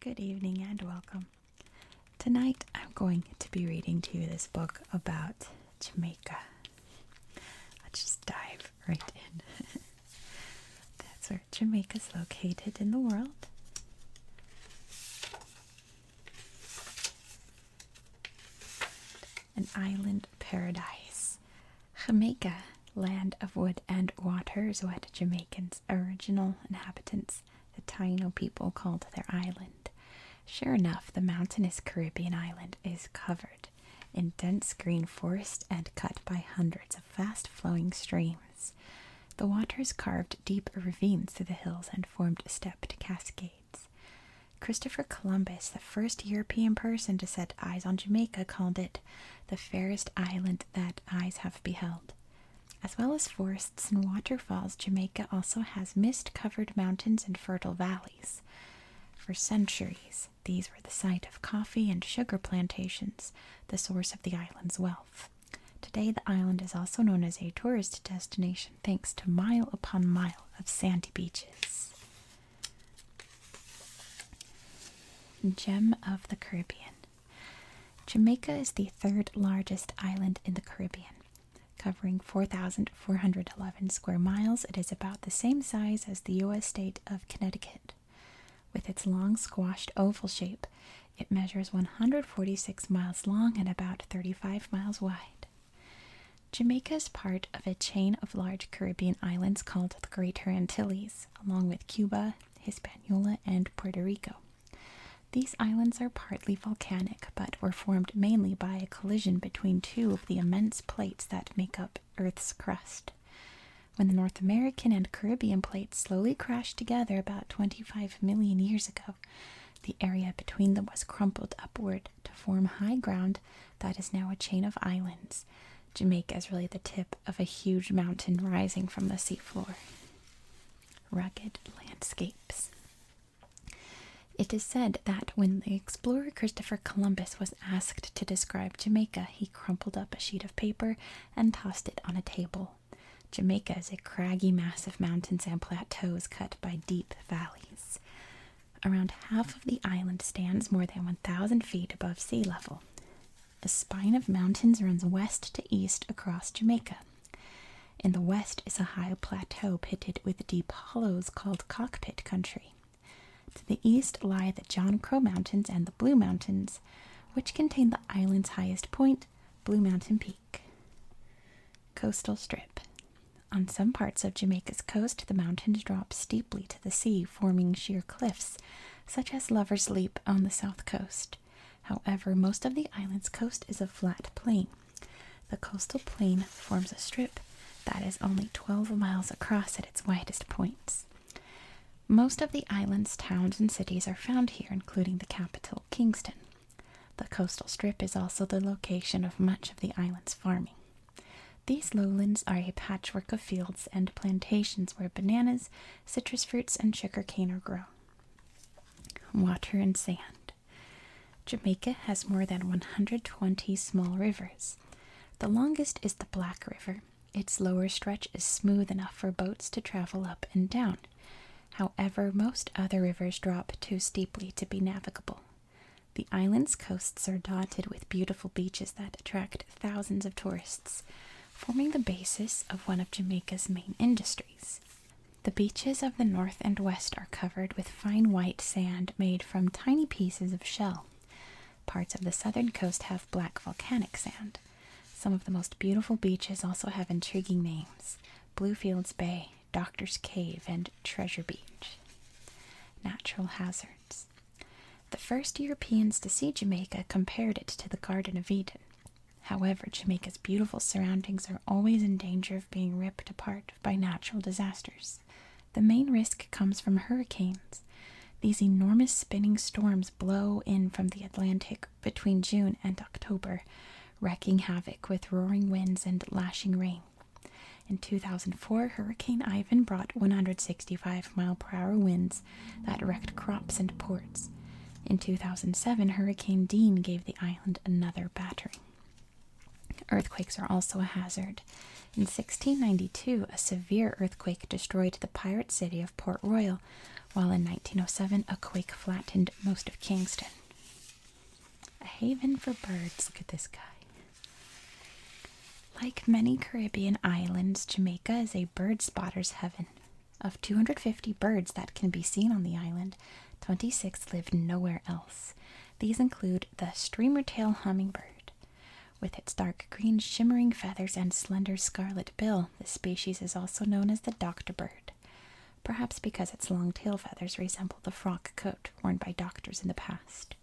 Good evening and welcome. Tonight I'm going to be reading to you this book about Jamaica. Let's just dive right in. That's where Jamaica's located in the world. An island paradise. Jamaica, land of wood and waters, is what Jamaicans, original inhabitants, the Taino people, called their island. Sure enough, the mountainous Caribbean island is covered in dense green forest and cut by hundreds of fast flowing streams. The waters carved deep ravines through the hills and formed stepped cascades. Christopher Columbus, the first European person to set eyes on Jamaica, called it the fairest island that eyes have beheld. As well as forests and waterfalls, Jamaica also has mist covered mountains and fertile valleys. For centuries, these were the site of coffee and sugar plantations, the source of the island's wealth. Today, the island is also known as a tourist destination thanks to mile upon mile of sandy beaches. Gem of the Caribbean Jamaica is the third largest island in the Caribbean. Covering 4,411 square miles, it is about the same size as the U.S. state of Connecticut. With its long, squashed oval shape, it measures 146 miles long and about 35 miles wide. Jamaica is part of a chain of large Caribbean islands called the Greater Antilles, along with Cuba, Hispaniola, and Puerto Rico. These islands are partly volcanic, but were formed mainly by a collision between two of the immense plates that make up Earth's crust. When the North American and Caribbean plates slowly crashed together about 25 million years ago, the area between them was crumpled upward to form high ground that is now a chain of islands. Jamaica is really the tip of a huge mountain rising from the seafloor. Rugged landscapes. It is said that when the explorer Christopher Columbus was asked to describe Jamaica, he crumpled up a sheet of paper and tossed it on a table. Jamaica is a craggy mass of mountains and plateaus cut by deep valleys. Around half of the island stands more than 1,000 feet above sea level. A spine of mountains runs west to east across Jamaica. In the west is a high plateau pitted with deep hollows called Cockpit Country. To the east lie the John Crow Mountains and the Blue Mountains, which contain the island's highest point, Blue Mountain Peak. Coastal Strip. On some parts of Jamaica's coast, the mountains drop steeply to the sea, forming sheer cliffs, such as Lover's Leap on the south coast. However, most of the island's coast is a flat plain. The coastal plain forms a strip that is only 12 miles across at its widest points. Most of the island's towns and cities are found here, including the capital, Kingston. The coastal strip is also the location of much of the island's farming. These lowlands are a patchwork of fields and plantations where bananas, citrus fruits, and sugar cane are grown. Water and sand. Jamaica has more than 120 small rivers. The longest is the Black River. Its lower stretch is smooth enough for boats to travel up and down. However, most other rivers drop too steeply to be navigable. The island's coasts are dotted with beautiful beaches that attract thousands of tourists, forming the basis of one of Jamaica's main industries. The beaches of the north and west are covered with fine white sand made from tiny pieces of shell. Parts of the southern coast have black volcanic sand. Some of the most beautiful beaches also have intriguing names Bluefields Bay, Doctor's Cave, and Treasure Beach. Natural hazards. The first Europeans to see Jamaica compared it to the Garden of Eden. However, Jamaica's beautiful surroundings are always in danger of being ripped apart by natural disasters. The main risk comes from hurricanes. These enormous spinning storms blow in from the Atlantic between June and October wrecking havoc with roaring winds and lashing rain. In 2004, Hurricane Ivan brought 165 mile per hour winds that wrecked crops and ports. In 2007, Hurricane Dean gave the island another battering. Earthquakes are also a hazard. In 1692, a severe earthquake destroyed the pirate city of Port Royal, while in 1907, a quake flattened most of Kingston. A haven for birds, look at this guy. Like many Caribbean islands, Jamaica is a bird spotter's heaven. Of 250 birds that can be seen on the island, 26 live nowhere else. These include the streamer streamertail hummingbird. With its dark green shimmering feathers and slender scarlet bill, this species is also known as the doctor bird perhaps because its long tail feathers resemble the frock coat worn by doctors in the past.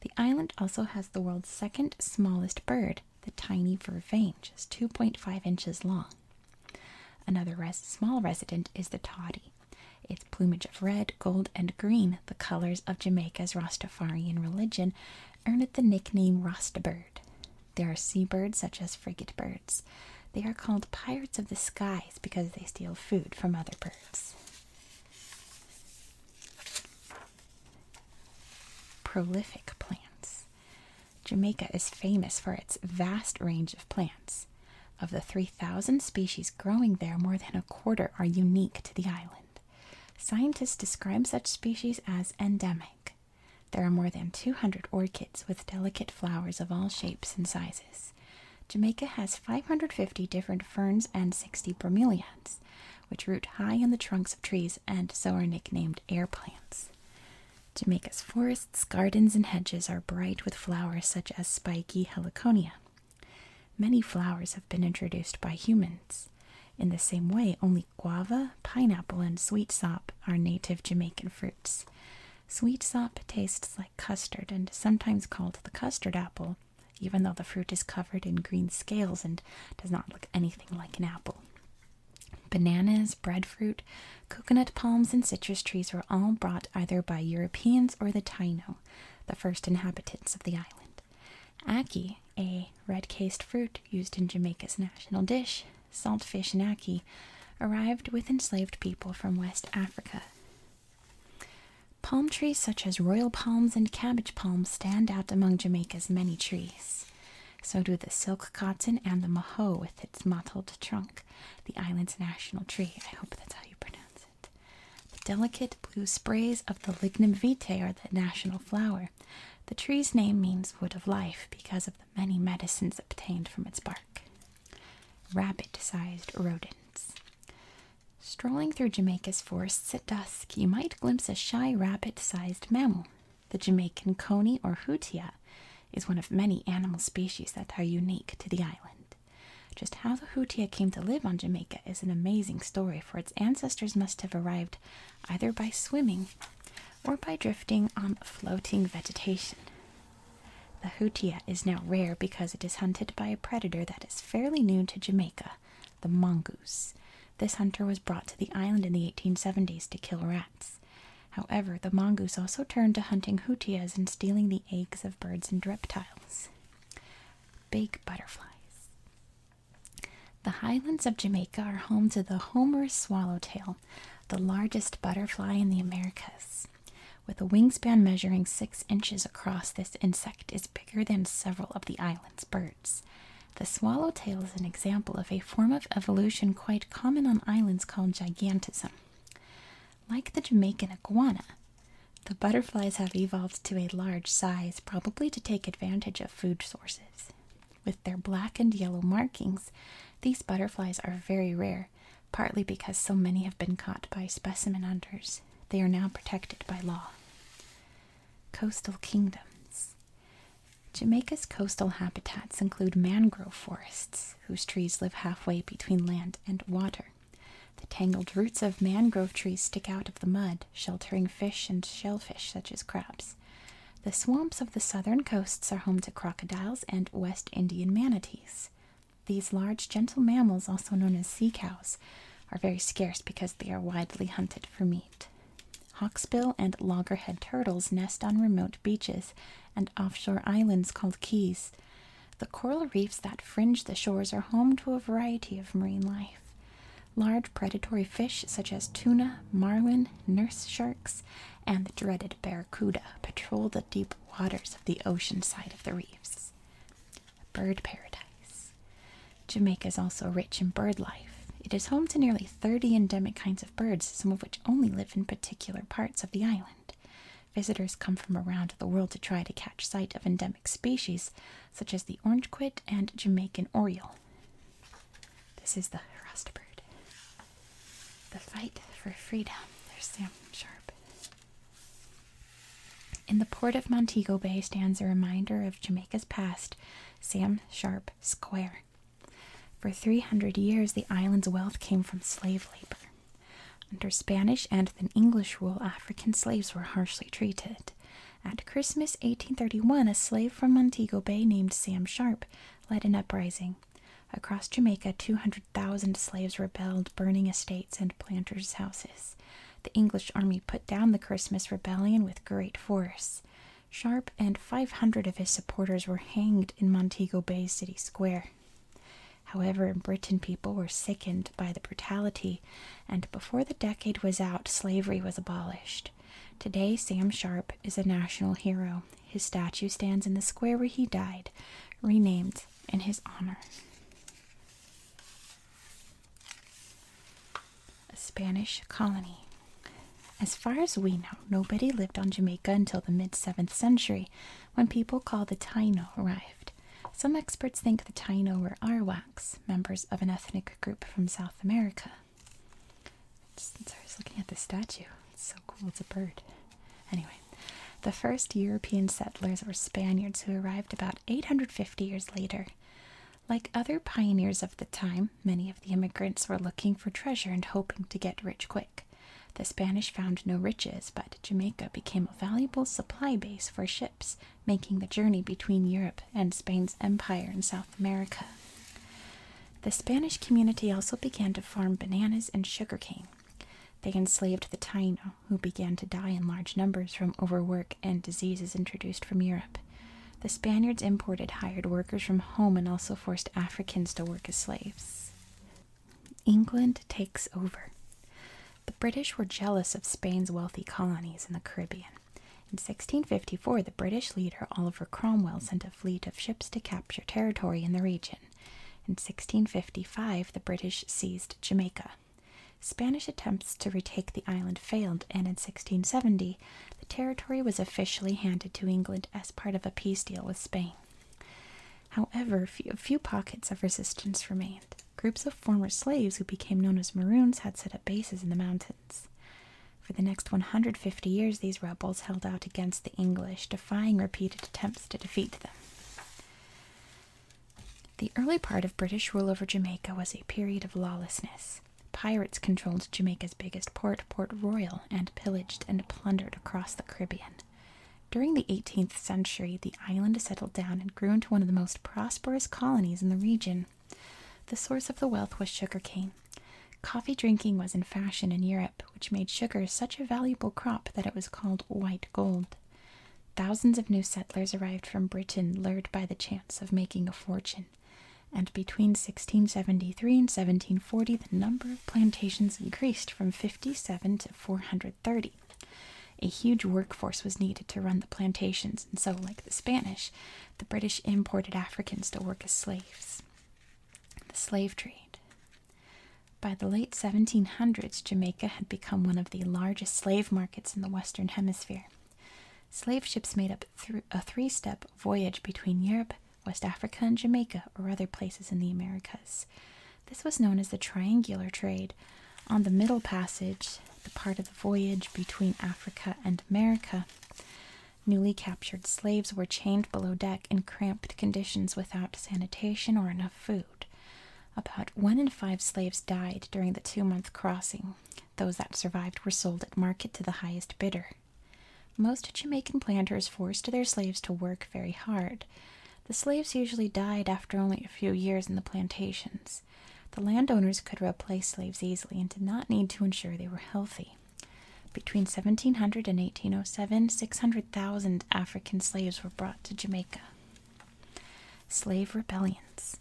The island also has the world's second smallest bird, the tiny vervain, just 2.5 inches long. Another small resident is the toddy, its plumage of red, gold, and green, the colors of Jamaica's Rastafarian religion, earned it the nickname Rasta bird. There are seabirds such as frigate they are called pirates of the skies because they steal food from other birds. Prolific plants. Jamaica is famous for its vast range of plants. Of the 3,000 species growing there, more than a quarter are unique to the island. Scientists describe such species as endemic. There are more than 200 orchids with delicate flowers of all shapes and sizes. Jamaica has 550 different ferns and 60 bromeliads, which root high in the trunks of trees and so are nicknamed air plants. Jamaica's forests, gardens, and hedges are bright with flowers such as spiky heliconia. Many flowers have been introduced by humans. In the same way, only guava, pineapple, and sweet sop are native Jamaican fruits. Sweet sop tastes like custard and is sometimes called the custard apple, even though the fruit is covered in green scales and does not look anything like an apple. Bananas, breadfruit, coconut palms, and citrus trees were all brought either by Europeans or the Taino, the first inhabitants of the island. Ackee, a red cased fruit used in Jamaica's national dish, saltfish naki, arrived with enslaved people from West Africa. Palm trees such as royal palms and cabbage palms stand out among Jamaica's many trees. So do the silk cotton and the maho with its mottled trunk, the island's national tree. I hope that's how you pronounce it. The delicate blue sprays of the lignum vitae are the national flower. The tree's name means wood of life because of the many medicines obtained from its bark. Rabbit sized rodents. Strolling through Jamaica's forests at dusk, you might glimpse a shy rabbit sized mammal. The Jamaican coney or hootia is one of many animal species that are unique to the island. Just how the hootia came to live on Jamaica is an amazing story, for its ancestors must have arrived either by swimming or by drifting on floating vegetation. The hootia is now rare because it is hunted by a predator that is fairly new to Jamaica, the mongoose. This hunter was brought to the island in the 1870s to kill rats. However, the mongoose also turned to hunting hootias and stealing the eggs of birds and reptiles. Big butterflies. The highlands of Jamaica are home to the Homer's swallowtail, the largest butterfly in the Americas. With a wingspan measuring six inches across, this insect is bigger than several of the island's birds. The swallowtail is an example of a form of evolution quite common on islands called gigantism. Like the Jamaican iguana, the butterflies have evolved to a large size, probably to take advantage of food sources. With their black and yellow markings, these butterflies are very rare, partly because so many have been caught by specimen hunters. They are now protected by law. Coastal kingdoms. Jamaica's coastal habitats include mangrove forests, whose trees live halfway between land and water. The tangled roots of mangrove trees stick out of the mud, sheltering fish and shellfish such as crabs. The swamps of the southern coasts are home to crocodiles and West Indian manatees. These large, gentle mammals, also known as sea cows, are very scarce because they are widely hunted for meat. Hawksbill and loggerhead turtles nest on remote beaches and offshore islands called keys. The coral reefs that fringe the shores are home to a variety of marine life. Large predatory fish such as tuna, marlin, nurse sharks, and the dreaded barracuda patrol the deep waters of the ocean side of the reefs. bird paradise. Jamaica is also rich in bird life. It is home to nearly 30 endemic kinds of birds, some of which only live in particular parts of the island. Visitors come from around the world to try to catch sight of endemic species such as the orange quit and Jamaican oriole. This is the harassed bird. The fight for freedom. There's Sam Sharp. In the port of Montego Bay stands a reminder of Jamaica's past, Sam Sharp Square. For 300 years, the island's wealth came from slave labor. Under Spanish and then English rule, African slaves were harshly treated. At Christmas 1831, a slave from Montego Bay named Sam Sharp led an uprising. Across Jamaica, 200,000 slaves rebelled, burning estates and planters' houses. The English army put down the Christmas rebellion with great force. Sharp and 500 of his supporters were hanged in Montego Bay City Square. However, the Britain, people were sickened by the brutality, and before the decade was out, slavery was abolished. Today, Sam Sharp is a national hero his statue stands in the square where he died, renamed in his honor. A Spanish colony. As far as we know, nobody lived on Jamaica until the mid 7th century when people called the Taino arrived. Some experts think the Taino were Arawaks, members of an ethnic group from South America since I was looking at the statue, it's so cool, it's a bird. Anyway, the first European settlers were Spaniards who arrived about 850 years later. Like other pioneers of the time, many of the immigrants were looking for treasure and hoping to get rich quick. The Spanish found no riches, but Jamaica became a valuable supply base for ships making the journey between Europe and Spain's empire in South America. The Spanish community also began to farm bananas and sugar cane. They enslaved the Taino, who began to die in large numbers from overwork and diseases introduced from Europe. The Spaniards imported hired workers from home and also forced Africans to work as slaves. England takes over. The British were jealous of Spain's wealthy colonies in the Caribbean. In 1654, the British leader Oliver Cromwell sent a fleet of ships to capture territory in the region. In 1655, the British seized Jamaica. Spanish attempts to retake the island failed, and in 1670, the territory was officially handed to England as part of a peace deal with Spain. However, few, few pockets of resistance remained. Groups of former slaves who became known as Maroons had set up bases in the mountains. For the next 150 years, these rebels held out against the English, defying repeated attempts to defeat them. The early part of British rule over Jamaica was a period of lawlessness. Pirates controlled Jamaica's biggest port, Port Royal, and pillaged and plundered across the Caribbean. During the 18th century, the island settled down and grew into one of the most prosperous colonies in the region. The source of the wealth was sugar cane, Coffee drinking was in fashion in Europe, which made sugar such a valuable crop that it was called white gold. Thousands of new settlers arrived from Britain, lured by the chance of making a fortune. And between 1673 and 1740, the number of plantations increased from 57 to 430. A huge workforce was needed to run the plantations, and so, like the Spanish, the British imported Africans to work as slaves the slave trade. By the late 1700s, Jamaica had become one of the largest slave markets in the Western Hemisphere. Slave ships made up a three step voyage between Europe, West Africa, and Jamaica, or other places in the Americas. This was known as the triangular trade. On the Middle Passage, the part of the voyage between Africa and America, Newly captured slaves were chained below deck in cramped conditions without sanitation or enough food. About one in five slaves died during the two month crossing. Those that survived were sold at market to the highest bidder. Most Jamaican planters forced their slaves to work very hard. The slaves usually died after only a few years in the plantations. The landowners could replace slaves easily and did not need to ensure they were healthy. Between 1700 and 1807, 600,000 African slaves were brought to Jamaica. Slave rebellions.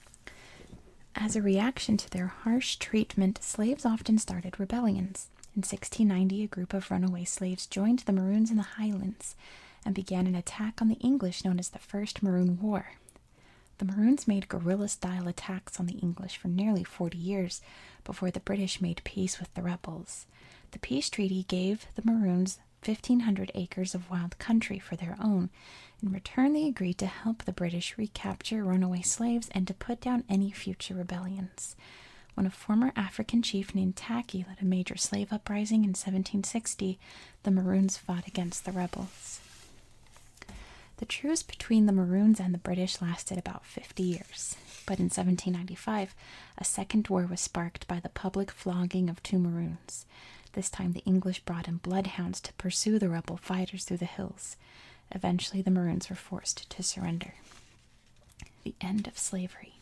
As a reaction to their harsh treatment, slaves often started rebellions. In 1690, a group of runaway slaves joined the Maroons in the Highlands and began an attack on the English known as the First Maroon War. The Maroons made guerrilla style attacks on the English for nearly 40 years, before the British made peace with the rebels. The peace treaty gave the Maroons 1,500 acres of wild country for their own. In return, they agreed to help the British recapture runaway slaves and to put down any future rebellions. When a former African chief named Tacky led a major slave uprising in 1760, the Maroons fought against the rebels. The truce between the Maroons and the British lasted about 50 years, but in 1795 a second war was sparked by the public flogging of two Maroons. This time the English brought in bloodhounds to pursue the rebel fighters through the hills. Eventually the Maroons were forced to surrender. The end of slavery.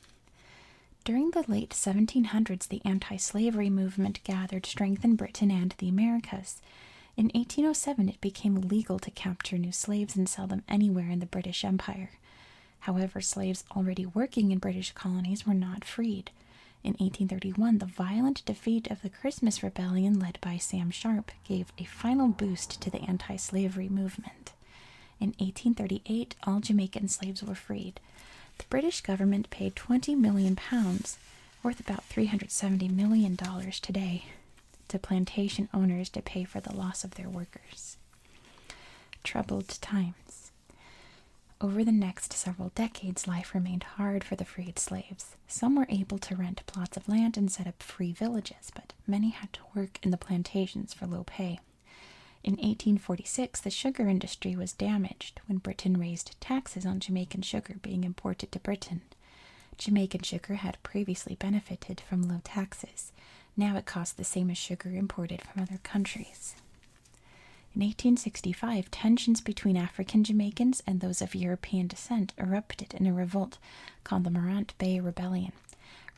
During the late 1700s, the anti slavery movement gathered strength in Britain and the Americas. In 1807, it became legal to capture new slaves and sell them anywhere in the British Empire. However, slaves already working in British colonies were not freed. In 1831, the violent defeat of the Christmas Rebellion led by Sam Sharp gave a final boost to the anti slavery movement. In 1838, all Jamaican slaves were freed. The British government paid 20 million pounds, worth about $370 million today, to plantation owners to pay for the loss of their workers. Troubled times. Over the next several decades, life remained hard for the freed slaves. Some were able to rent plots of land and set up free villages, but many had to work in the plantations for low pay. In 1846, the sugar industry was damaged when Britain raised taxes on Jamaican sugar being imported to Britain. Jamaican sugar had previously benefited from low taxes. Now it cost the same as sugar imported from other countries. In 1865, tensions between African Jamaicans and those of European descent erupted in a revolt called the Morant Bay Rebellion.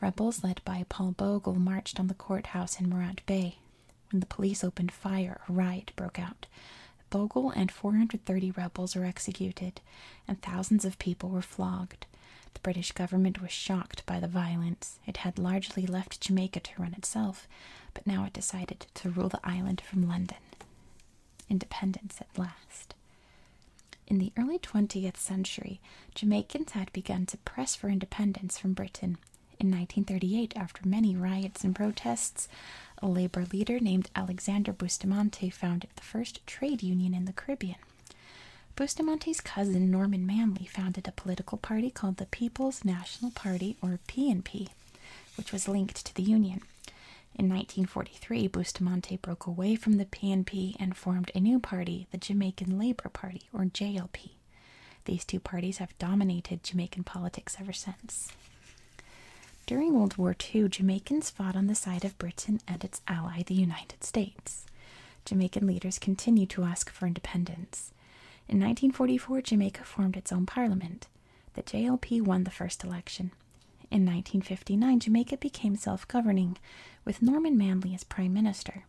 Rebels led by Paul Bogle marched on the courthouse in Morant Bay. When the police opened fire, a riot broke out. Bogle and 430 rebels were executed and thousands of people were flogged. The British government was shocked by the violence. It had largely left Jamaica to run itself, but now it decided to rule the island from London. Independence at last. In the early 20th century, Jamaicans had begun to press for independence from Britain. In 1938, after many riots and protests, a labor leader named Alexander Bustamante founded the first trade union in the Caribbean. Bustamante's cousin Norman Manley founded a political party called the People's National Party, or PNP, which was linked to the Union. In 1943, Bustamante broke away from the PNP and formed a new party, the Jamaican Labour Party, or JLP. These two parties have dominated Jamaican politics ever since. During World War II, Jamaicans fought on the side of Britain and its ally, the United States. Jamaican leaders continued to ask for independence. In 1944, Jamaica formed its own parliament. The JLP won the first election. In 1959, Jamaica became self governing, with Norman Manley as prime minister.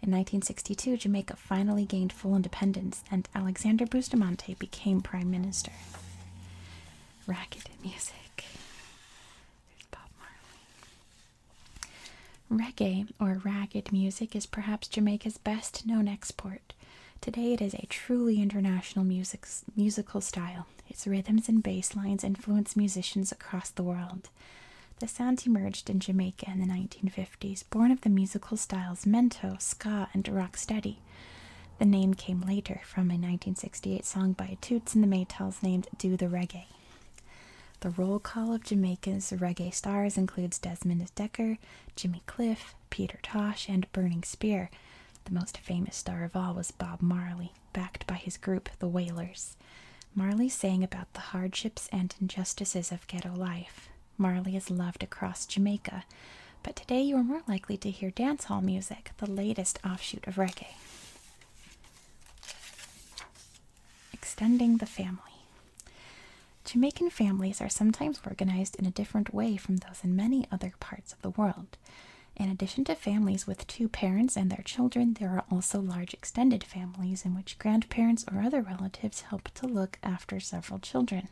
In 1962, Jamaica finally gained full independence and Alexander Bustamante became prime minister. Racket music. Reggae, or ragged music, is perhaps Jamaica's best known export. Today it is a truly international musical style. Its rhythms and bass lines influence musicians across the world. The sound emerged in Jamaica in the 1950s, born of the musical styles mento, ska, and rocksteady. The name came later from a 1968 song by Toots and the Maytals named Do the Reggae. The roll call of Jamaica's reggae stars includes Desmond Decker, Jimmy Cliff, Peter Tosh, and Burning Spear. The most famous star of all was Bob Marley, backed by his group, the Wailers. Marley sang about the hardships and injustices of ghetto life. Marley is loved across Jamaica but today you are more likely to hear dance hall music, the latest offshoot of reggae. Extending the family. Jamaican families are sometimes organized in a different way from those in many other parts of the world. In addition to families with two parents and their children, there are also large extended families in which grandparents or other relatives help to look after several children.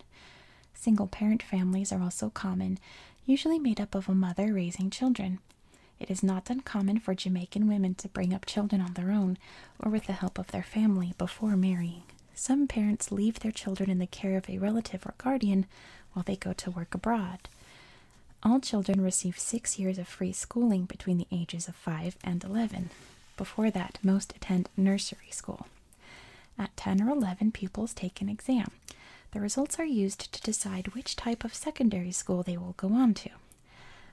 Single parent families are also common, usually made up of a mother raising children. It is not uncommon for Jamaican women to bring up children on their own or with the help of their family before marrying. Some parents leave their children in the care of a relative or guardian while they go to work abroad. All children receive six years of free schooling between the ages of 5 and 11. Before that, most attend nursery school. At 10 or 11, pupils take an exam. The results are used to decide which type of secondary school they will go on to.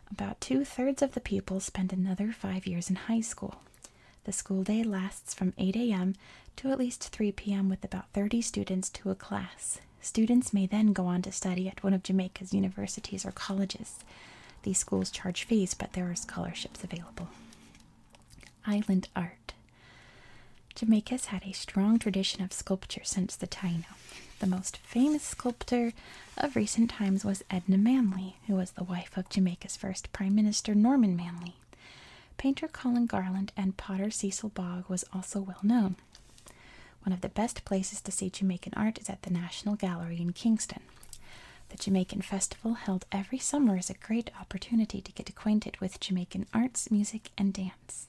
About two thirds of the pupils spend another five years in high school. The school day lasts from 8 a.m. to at least 3 p.m. with about 30 students to a class. Students may then go on to study at one of Jamaica's universities or colleges. These schools charge fees, but there are scholarships available island art. Jamaica has had a strong tradition of sculpture since the Taino. The most famous sculptor of recent times was Edna Manley, who was the wife of Jamaica's first Prime Minister Norman Manley. Painter Colin Garland and potter Cecil Bog was also well known. One of the best places to see Jamaican art is at the National Gallery in Kingston. The Jamaican Festival, held every summer, is a great opportunity to get acquainted with Jamaican arts, music, and dance.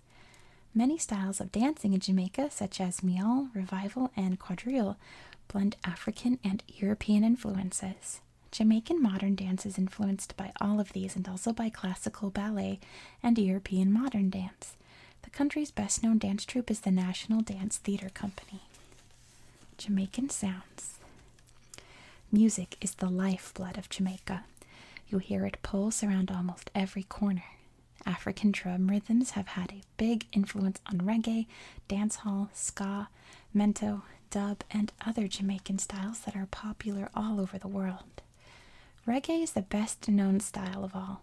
Many styles of dancing in Jamaica, such as meal, revival, and quadrille, blend African and European influences. Jamaican modern dance is influenced by all of these and also by classical ballet and European modern dance. The country's best known dance troupe is the National Dance Theatre Company. Jamaican Sounds Music is the lifeblood of Jamaica. You'll hear it pulse around almost every corner. African drum rhythms have had a big influence on reggae, dancehall, ska, mento, dub, and other Jamaican styles that are popular all over the world. Reggae is the best known style of all.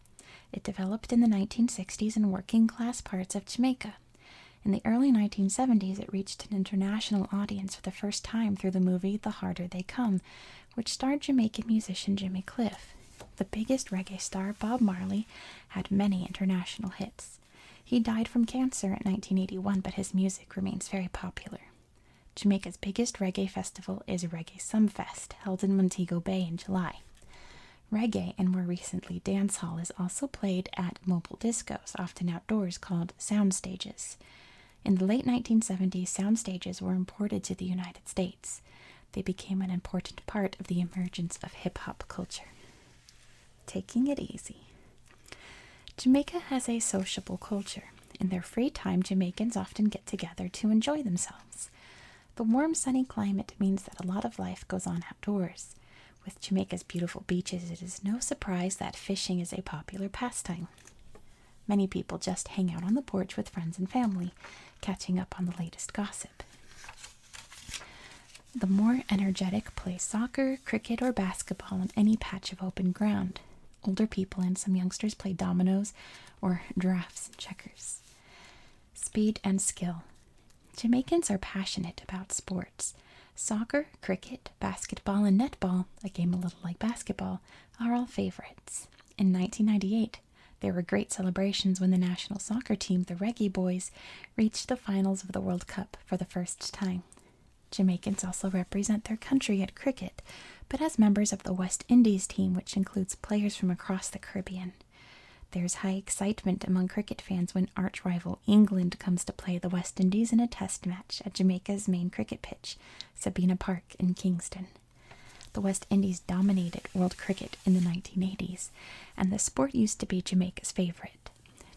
It developed in the 1960s in working class parts of Jamaica. In the early 1970s, it reached an international audience for the first time through the movie The Harder They Come, which starred Jamaican musician Jimmy Cliff. The biggest reggae star, Bob Marley, had many international hits. He died from cancer in 1981, but his music remains very popular. Jamaica's biggest reggae festival is Reggae Sumfest, held in Montego Bay in July. Reggae and more recently dancehall is also played at mobile discos, often outdoors, called sound stages. In the late 1970s, sound stages were imported to the United States. They became an important part of the emergence of hip hop culture. Taking it easy. Jamaica has a sociable culture. In their free time, Jamaicans often get together to enjoy themselves. The warm, sunny climate means that a lot of life goes on outdoors. With Jamaica's beautiful beaches, it is no surprise that fishing is a popular pastime. Many people just hang out on the porch with friends and family, catching up on the latest gossip. The more energetic play soccer, cricket, or basketball on any patch of open ground. Older people and some youngsters play dominoes or drafts and checkers. Speed and skill. Jamaicans are passionate about sports. Soccer, cricket, basketball, and netball, a game a little like basketball, are all favorites. In 1998, there were great celebrations when the national soccer team, the Reggae Boys, reached the finals of the World Cup for the first time. Jamaicans also represent their country at cricket, but as members of the West Indies team, which includes players from across the Caribbean. There's high excitement among cricket fans when arch rival England comes to play the West Indies in a test match at Jamaica's main cricket pitch, Sabina Park in Kingston. The West Indies dominated world cricket in the 1980s, and the sport used to be Jamaica's favorite.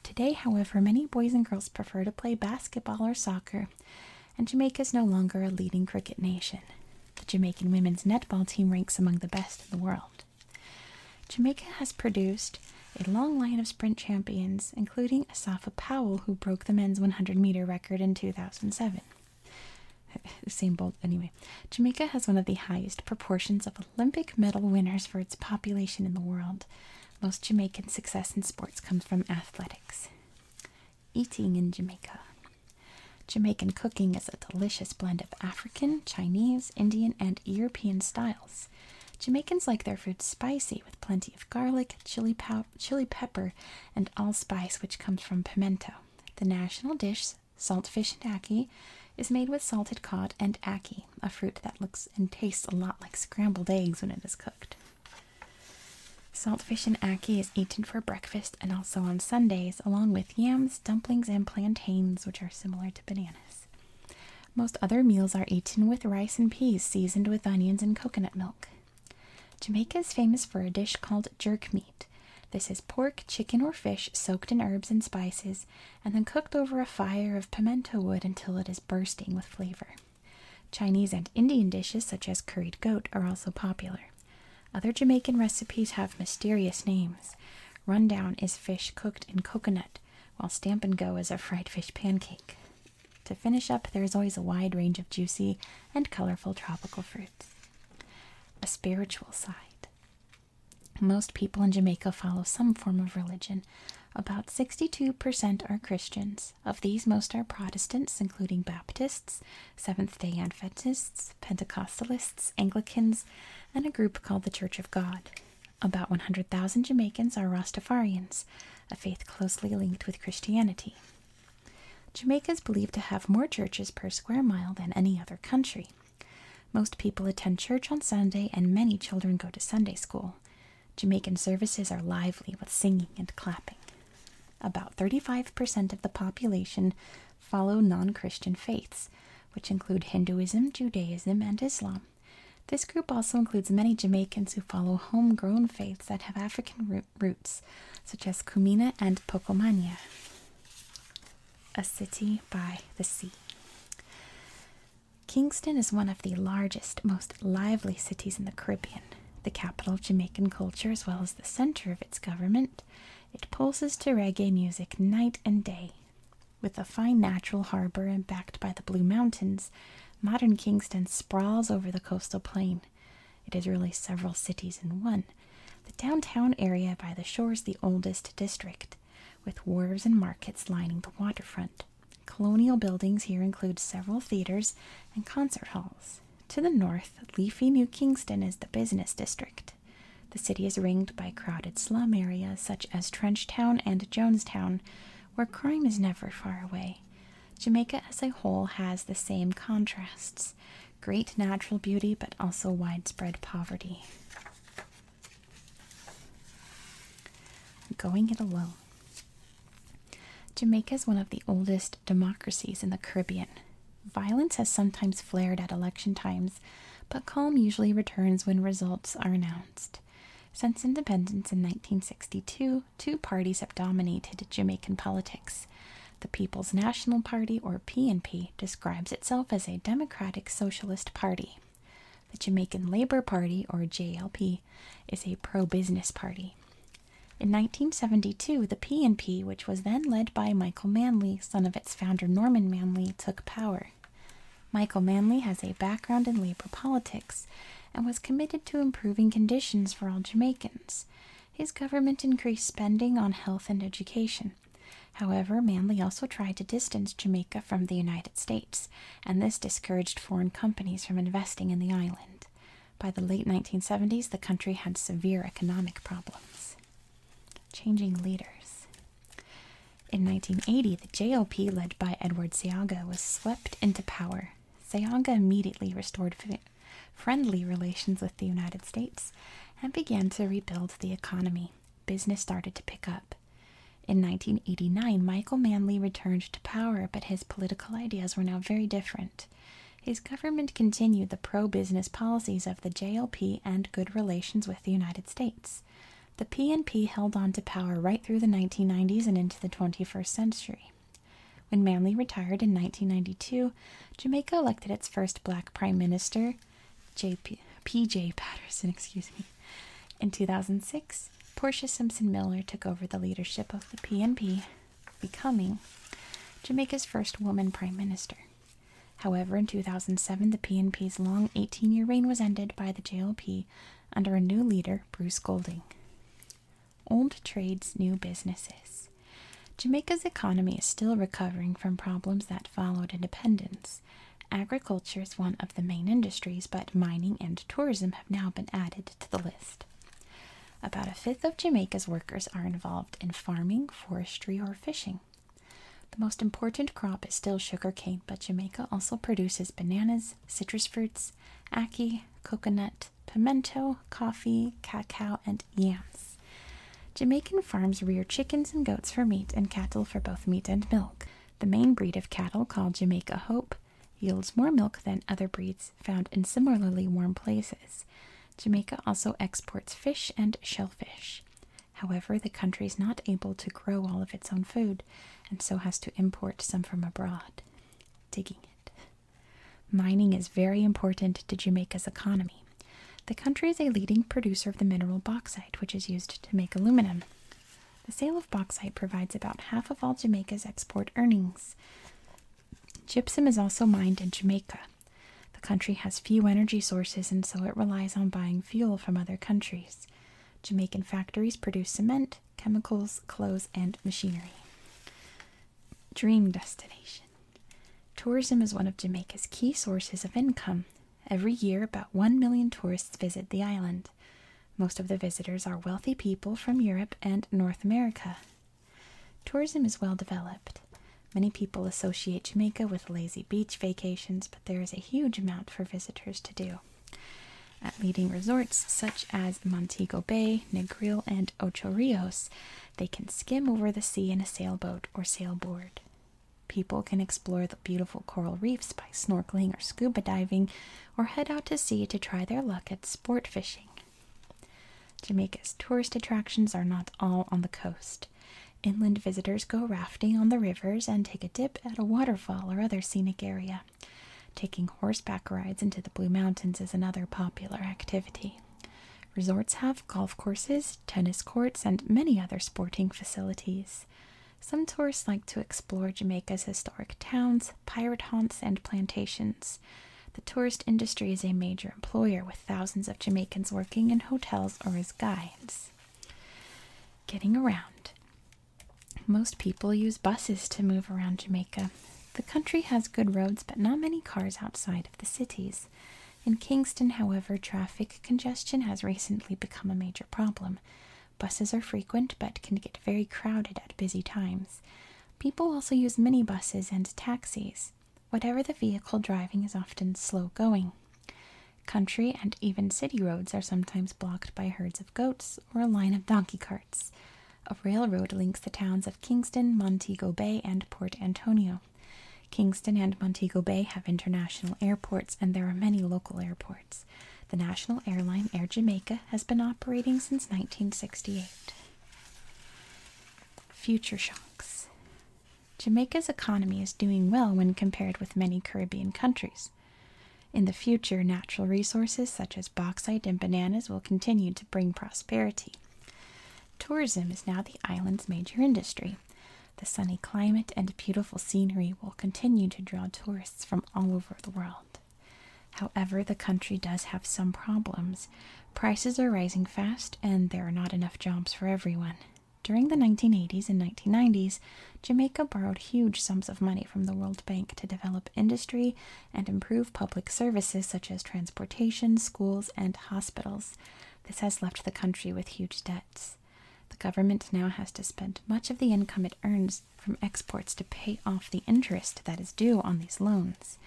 Today, however, many boys and girls prefer to play basketball or soccer, and Jamaica is no longer a leading cricket nation. The Jamaican women's netball team ranks among the best in the world. Jamaica has produced a long line of sprint champions, including Asafa Powell, who broke the men's 100 meter record in 2007. Same bolt, anyway. Jamaica has one of the highest proportions of Olympic medal winners for its population in the world. Most Jamaican success in sports comes from athletics. Eating in Jamaica. Jamaican cooking is a delicious blend of African, Chinese, Indian, and European styles. Jamaicans like their food spicy with plenty of garlic, chili, chili pepper, and allspice, which comes from pimento. The national dish, saltfish and ackee, is made with salted cod and ackee, a fruit that looks and tastes a lot like scrambled eggs when it is cooked. Saltfish and ackee is eaten for breakfast and also on Sundays, along with yams, dumplings, and plantains, which are similar to bananas. Most other meals are eaten with rice and peas seasoned with onions and coconut milk. Jamaica is famous for a dish called jerk meat. This is pork, chicken, or fish soaked in herbs and spices and then cooked over a fire of pimento wood until it is bursting with flavor. Chinese and Indian dishes such as curried goat are also popular. Other Jamaican recipes have mysterious names. Rundown is fish cooked in coconut, while Stamp Go is a fried fish pancake. To finish up, there is always a wide range of juicy and colorful tropical fruits. A spiritual side. Most people in Jamaica follow some form of religion. About 62% are Christians. Of these, most are Protestants, including Baptists, Seventh day Adventists, Pentecostalists, Anglicans, and a group called the Church of God. About 100,000 Jamaicans are Rastafarians, a faith closely linked with Christianity. Jamaica is believed to have more churches per square mile than any other country. Most people attend church on Sunday, and many children go to Sunday school. Jamaican services are lively with singing and clapping. About 35% of the population follow non Christian faiths, which include Hinduism, Judaism, and Islam. This group also includes many Jamaicans who follow homegrown faiths that have African roots, such as Kumina and Pocomania, a city by the sea. Kingston is one of the largest, most lively cities in the Caribbean, the capital of Jamaican culture as well as the center of its government. It pulses to reggae music night and day. With a fine natural harbor and backed by the Blue Mountains, modern Kingston sprawls over the coastal plain. It is really several cities in one. The downtown area by the shore is the oldest district, with wharves and markets lining the waterfront. Colonial buildings here include several theaters and concert halls. To the north, leafy New Kingston is the business district. The city is ringed by crowded slum areas such as Trenchtown and Jonestown, where crime is never far away. Jamaica as a whole has the same contrasts great natural beauty, but also widespread poverty. Going it alone. Jamaica is one of the oldest democracies in the Caribbean. Violence has sometimes flared at election times, but calm usually returns when results are announced. Since independence in 1962, two parties have dominated Jamaican politics. The People's National Party, or PNP, describes itself as a democratic socialist party. The Jamaican Labour Party, or JLP, is a pro business party. In 1972, the PNP, which was then led by Michael Manley, son of its founder Norman Manley, took power. Michael Manley has a background in Labour politics and was committed to improving conditions for all Jamaicans. His government increased spending on health and education. However, Manley also tried to distance Jamaica from the United States, and this discouraged foreign companies from investing in the island. By the late 1970s, the country had severe economic problems. Changing leaders. In 1980, the JLP, led by Edward Sayaga, was swept into power. Sayaga immediately restored friendly relations with the United States and began to rebuild the economy. Business started to pick up. In 1989, Michael Manley returned to power, but his political ideas were now very different. His government continued the pro business policies of the JLP and good relations with the United States. US. The PNP held on to power right through the 1990s and into the 21st century. When Manley retired in 1992, Jamaica elected its first black prime minister, P.J. Patterson, excuse me. In 2006, Portia Simpson Miller took over the leadership of the PNP, becoming Jamaica's first woman prime minister. However, in 2007, the PNP's long 18 year reign was ended by the JLP under a new leader, Bruce Golding. Old trades, new businesses. Jamaica's economy is still recovering from problems that followed independence. Agriculture is one of the main industries, but mining and tourism have now been added to the list. About a fifth of Jamaica's workers are involved in farming, forestry, or fishing. The most important crop is still sugarcane, but Jamaica also produces bananas, citrus fruits, ackee, coconut, pimento, coffee, cacao, and yams. Jamaican farms rear chickens and goats for meat and cattle for both meat and milk. The main breed of cattle, called Jamaica Hope, yields more milk than other breeds found in similarly warm places. Jamaica also exports fish and shellfish. However, the country is not able to grow all of its own food and so has to import some from abroad. Digging it. Mining is very important to Jamaica's economy. The country is a leading producer of the mineral bauxite, which is used to make aluminum. The sale of bauxite provides about half of all Jamaica's export earnings. Gypsum is also mined in Jamaica. The country has few energy sources and so it relies on buying fuel from other countries. Jamaican factories produce cement, chemicals, clothes, and machinery. Dream destination. Tourism is one of Jamaica's key sources of income. Every year, about 1 million tourists visit the island. Most of the visitors are wealthy people from Europe and North America. Tourism is well developed. Many people associate Jamaica with lazy beach vacations, but there is a huge amount for visitors to do. At leading resorts such as Montego Bay, Negril, and Ocho Rios, they can skim over the sea in a sailboat or sailboard. People can explore the beautiful coral reefs by snorkeling or scuba diving, or head out to sea to try their luck at sport fishing. Jamaica's tourist attractions are not all on the coast. Inland visitors go rafting on the rivers, and take a dip at a waterfall or other scenic area. Taking horseback rides into the Blue Mountains is another popular activity. Resorts have golf courses, tennis courts, and many other sporting facilities. Some tourists like to explore Jamaica's historic towns, pirate haunts, and plantations. The tourist industry is a major employer with thousands of Jamaicans working in hotels or as guides. Getting around. Most people use buses to move around Jamaica. The country has good roads, but not many cars outside of the cities. In Kingston, however, traffic congestion has recently become a major problem. Buses are frequent but can get very crowded at busy times. People also use minibuses and taxis. Whatever the vehicle, driving is often slow going. Country and even city roads are sometimes blocked by herds of goats or a line of donkey carts. A railroad links the towns of Kingston, Montego Bay, and Port Antonio. Kingston and Montego Bay have international airports, and there are many local airports. The national airline Air Jamaica has been operating since 1968. Future shocks Jamaica's economy is doing well when compared with many Caribbean countries. In the future, natural resources such as bauxite and bananas will continue to bring prosperity. Tourism is now the island's major industry. The sunny climate and beautiful scenery will continue to draw tourists from all over the world. However, the country does have some problems. Prices are rising fast, and there are not enough jobs for everyone. During the 1980s and 1990s, Jamaica borrowed huge sums of money from the World Bank to develop industry and improve public services such as transportation, schools, and hospitals. This has left the country with huge debts. The government now has to spend much of the income it earns from exports to pay off the interest that is due on these loans.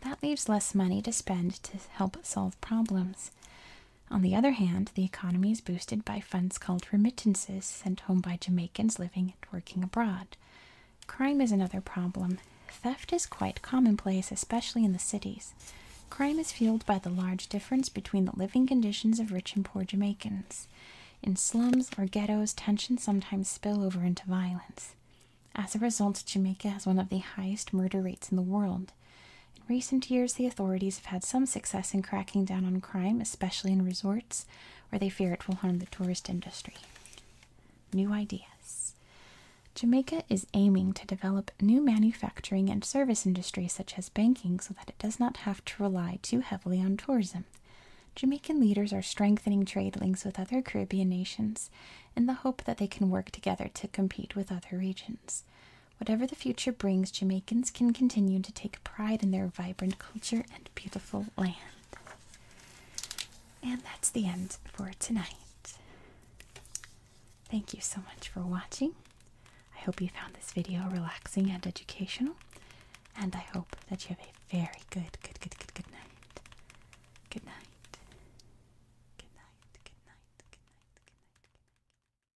That leaves less money to spend to help solve problems. On the other hand, the economy is boosted by funds called remittances sent home by Jamaicans living and working abroad. Crime is another problem. Theft is quite commonplace, especially in the cities. Crime is fueled by the large difference between the living conditions of rich and poor Jamaicans. In slums or ghettos, tensions sometimes spill over into violence. As a result, Jamaica has one of the highest murder rates in the world. In recent years, the authorities have had some success in cracking down on crime, especially in resorts where they fear it will harm the tourist industry. New ideas. Jamaica is aiming to develop new manufacturing and service industries such as banking so that it does not have to rely too heavily on tourism. Jamaican leaders are strengthening trade links with other Caribbean nations in the hope that they can work together to compete with other regions. Whatever the future brings, Jamaicans can continue to take pride in their vibrant culture and beautiful land. And that's the end for tonight. Thank you so much for watching. I hope you found this video relaxing and educational. And I hope that you have a very good, good, good, good, good night. Good night. Good night. Good night. Good night. Good night. Good night.